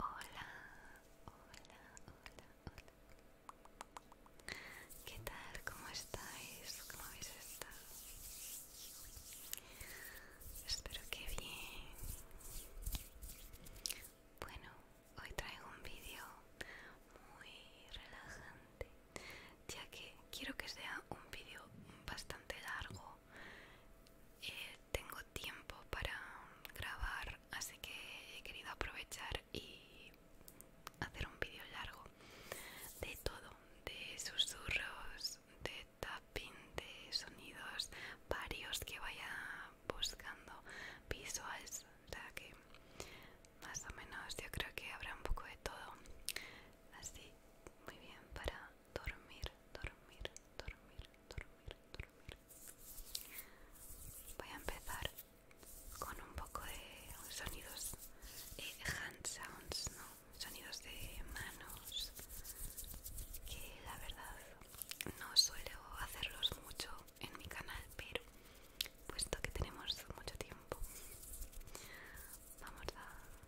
Hola, hola, hola, hola. ¿Qué tal? ¿Cómo estáis? ¿Cómo habéis estado? Espero que bien. Bueno, hoy traigo un vídeo muy relajante, ya que quiero que sea un vídeo bastante largo eh, tengo tiempo para grabar, así que he querido aprovechar y hacer un vídeo largo de todo, de susurros, de tapping, de sonidos varios que vaya buscando visuals, o sea que más o menos yo creo que habrá un poco de todo así muy bien para dormir, dormir, dormir, dormir, dormir. Voy a empezar con un poco de sonidos eh, hand sounds, ¿no? sonidos de manos que la verdad no suelo hacerlos mucho en mi canal, pero puesto que tenemos mucho tiempo, vamos a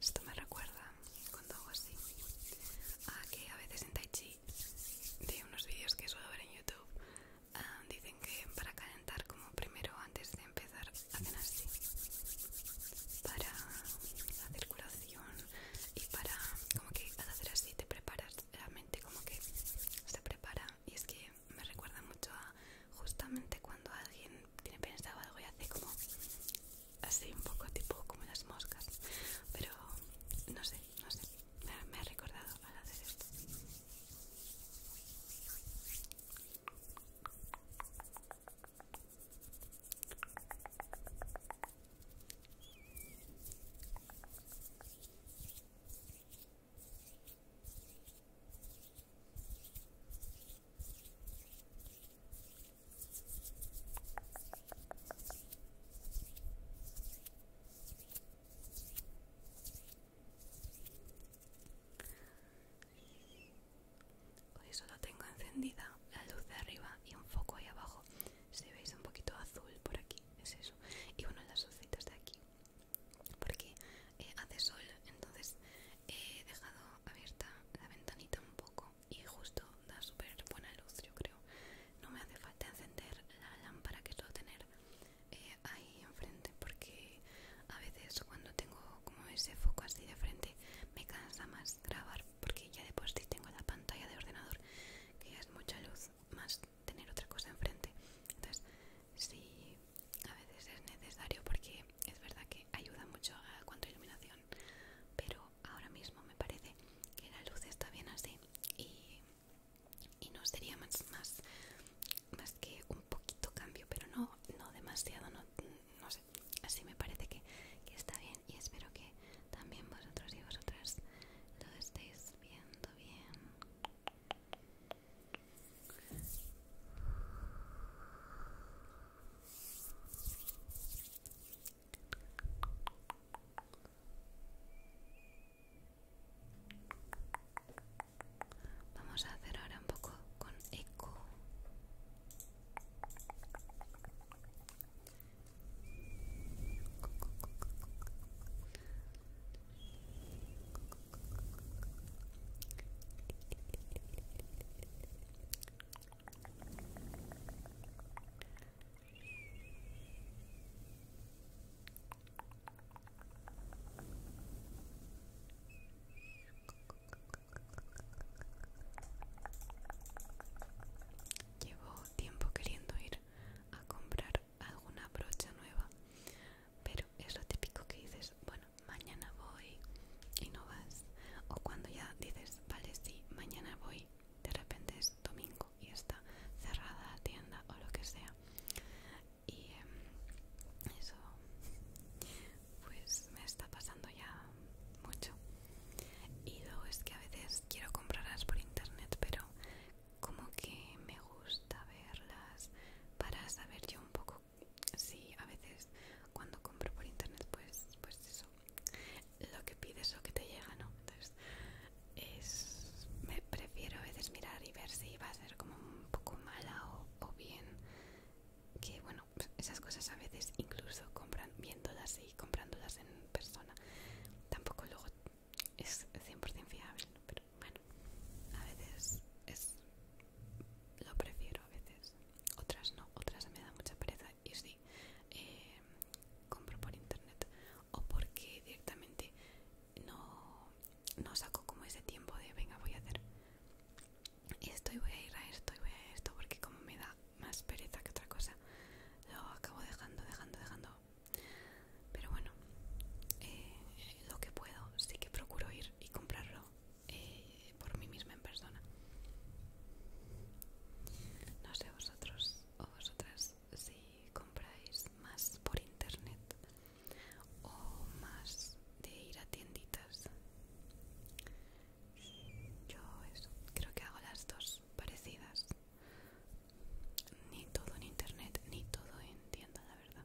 Esto me recuerda cuando hago así a que a veces en Tai Chi de unos vídeos que suelo ver en YouTube ah, dicen que para calentar como primero antes de empezar hacen así para la circulación y para como que al hacer así te preparas la mente como que se prepara y es que me recuerda mucho a justamente cuando alguien tiene pensado algo y hace como así un poco tipo como las moscas pero no sé no sé me, me ha recordado al hacer esto Hoy solo tengo encendida la luz de arriba y un foco ahí abajo. Si veis un poquito azul por aquí, es eso. Y bueno, las lucitas de aquí porque eh, hace sol entonces eh, he dejado abierta la ventanita un poco y justo da súper buena luz yo creo no me hace falta encender la lámpara que suelo tener eh, ahí enfrente porque a veces cuando tengo como ese foco así de frente me cansa más grabar porque ya de si tengo la pantalla de ordenador que es mucha luz más tener otra cosa enfrente entonces si a veces es necesario porque es verdad que ayuda mucho a cuanto iluminación pero ahora mismo me parece que la luz está bien así y, y no sería más, más, más que un poquito cambio pero no, no demasiado no, no sé así me parece que está bien y espero que también vosotros y vosotras lo estéis viendo bien Vamos a hacer ahora un poco con eco. Llevo tiempo queriendo ir a comprar alguna brocha nueva pero es lo típico que dices, bueno, mañana voy y no vas. O cuando ya dices, vale, sí, mañana voy, de repente es domingo y está cerrada la tienda o lo que sea. Y em, eso, pues me está pasando ya mucho. Y luego es que a veces quiero comprarlas por internet, pero como que me gusta verlas para saber yo un poco si a veces cuando compro por internet pues pues eso lo que pides o que te llega no entonces es me prefiero a veces mirar y ver si va a ser como un poco mala o, bien que bueno esas cosas a veces incluso viéndolas y comprándolas en persona tampoco luego es 100% fiable pero bueno, a veces es lo prefiero a veces, otras no, otras me da mucha pereza y sí, eh, compro por internet o porque directamente no, no saco como ese tiempo de venga voy a hacer esto y voy a ir a esto y voy a esto porque como me da más pereza que otra cosa lo acabo dejando, dejando, dejando pero bueno eh, lo que puedo sí que procuro ir y comprarlo eh, por mí misma en persona no sé vosotros o vosotras si compráis más por internet o más de ir a tienditas yo eso, creo que hago las dos parecidas ni todo en internet ni todo en tienda la verdad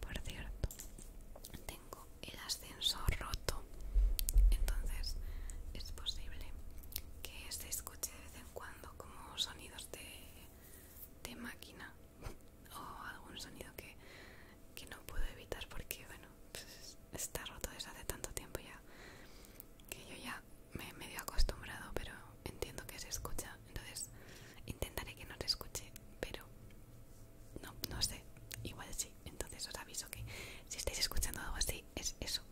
Por cierto, tengo el ascensor roto entonces es posible que se este escuche de vez en cuando como sonidos de, máquina o algún sonido que, no puedo evitar porque bueno pues, está roto desde hace tanto tiempo ya que yo ya me he medio acostumbrado pero entiendo que se escucha entonces intentaré que no se escuche pero no, no sé igual sí entonces os aviso que si estáis escuchando algo así, es eso.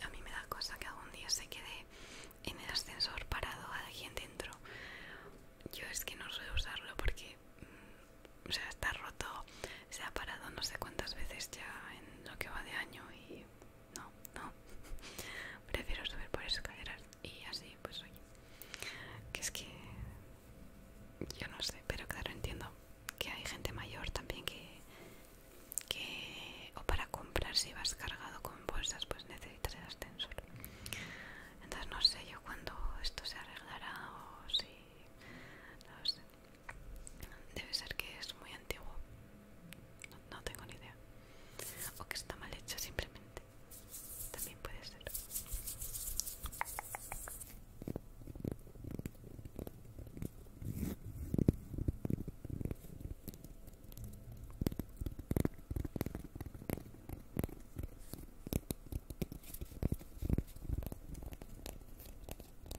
A mí me da cosa que algún día se quede en el ascensor parado alguien dentro. Yo es que no suelo usarlo porque, mm, está roto, se ha parado no sé cuántas veces ya en lo que va de año y no, no, prefiero subir por escaleras y así pues oye, que es que yo no sé, pero claro entiendo que hay gente mayor también que, que o para comprar si vas cargado con bolsas pues necesitas el ascensor. Entonces no sé yo cuándo esto se arreglará o si no sé. Debe ser que es muy antiguo. No, tengo ni idea. O que está mal hecha simplemente. También puede ser.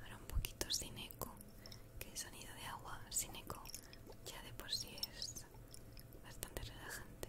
Ahora un poquito sin eco, que el sonido de agua sin eco ya de por sí es bastante relajante.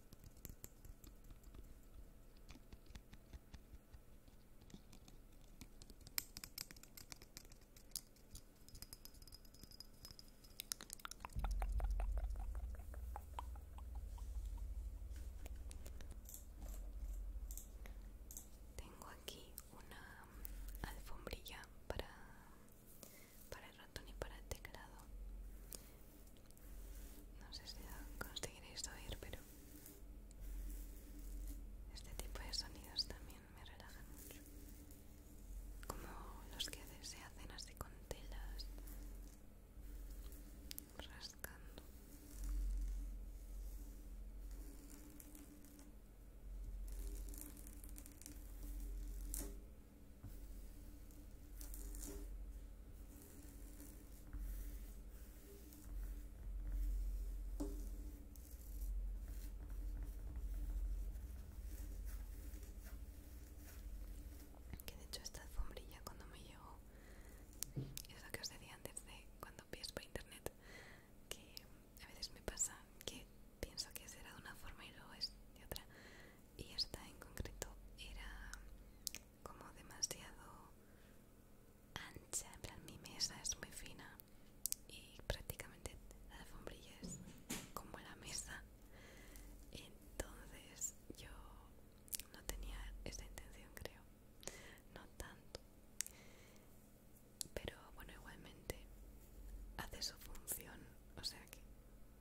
Tengo aquí una alfombrilla para para para el teclado. No sé si conseguiréis oír, pero este tipo de sonidos también me relajan mucho. Como los que se hacen así con telas, rascando. Que de hecho esta alfombrilla cuando me llegó, es lo que os decía antes de cuando pienso por internet, que a veces me pasa que pienso que será de una forma y luego es de otra y esta en concreto era como demasiado ancha, en mi mesa es muy fina y prácticamente la alfombrilla es como la mesa entonces yo no tenía esa intención creo no tanto pero bueno igualmente hace su función o sea que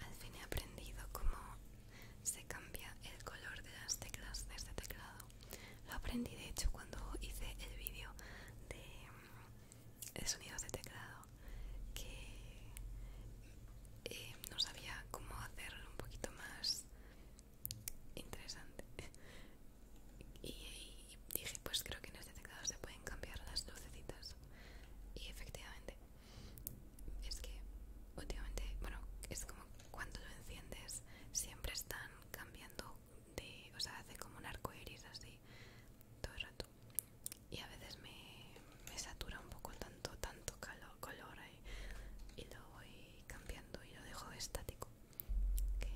Al fin he aprendido cómo se cambia el color de las teclas de este teclado. Lo aprendí de hecho cuando hice el vídeo de el sonido de teclado que eh, no sabía cómo hacerlo un poquito más interesante y, dije pues creo que en este teclado se pueden cambiar las lucecitas y efectivamente es que últimamente bueno es como cuando lo enciendes siempre están cambiando de o sea hace como un arco iris así todo el rato y a veces me, satura un poco tanto tanto color y lo voy cambiando y lo dejo estático que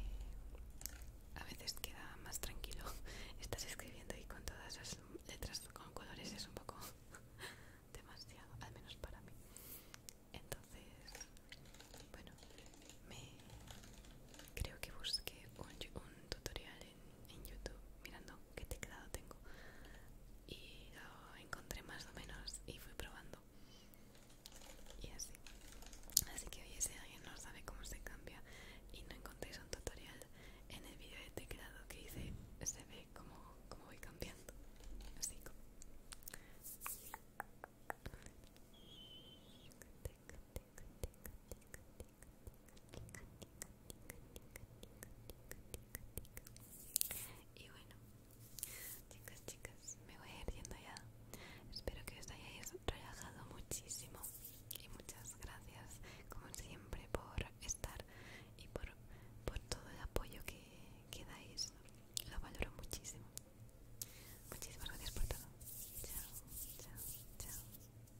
a veces queda más tranquilo estás escribiendo y con todas las letras con colores es un poco demasiado al menos para mí entonces bueno me creo que busqué un, un tutorial en en YouTube mirando qué teclado tengo y lo encontré más o menos y fui probando y así así que hoy si alguien no sabe cómo se cambia y no encontréis un tutorial en el video de teclado que hice se ve como, voy cambiando así como y bueno, chicas, chicas, me voy a ir viendo ya. Espero que os hayáis relajado muchísimo. Y muchas gracias, como siempre, por estar y por, todo el apoyo que, que dais. Lo valoro muchísimo. Muchísimas gracias por todo. Chao, chao, chao.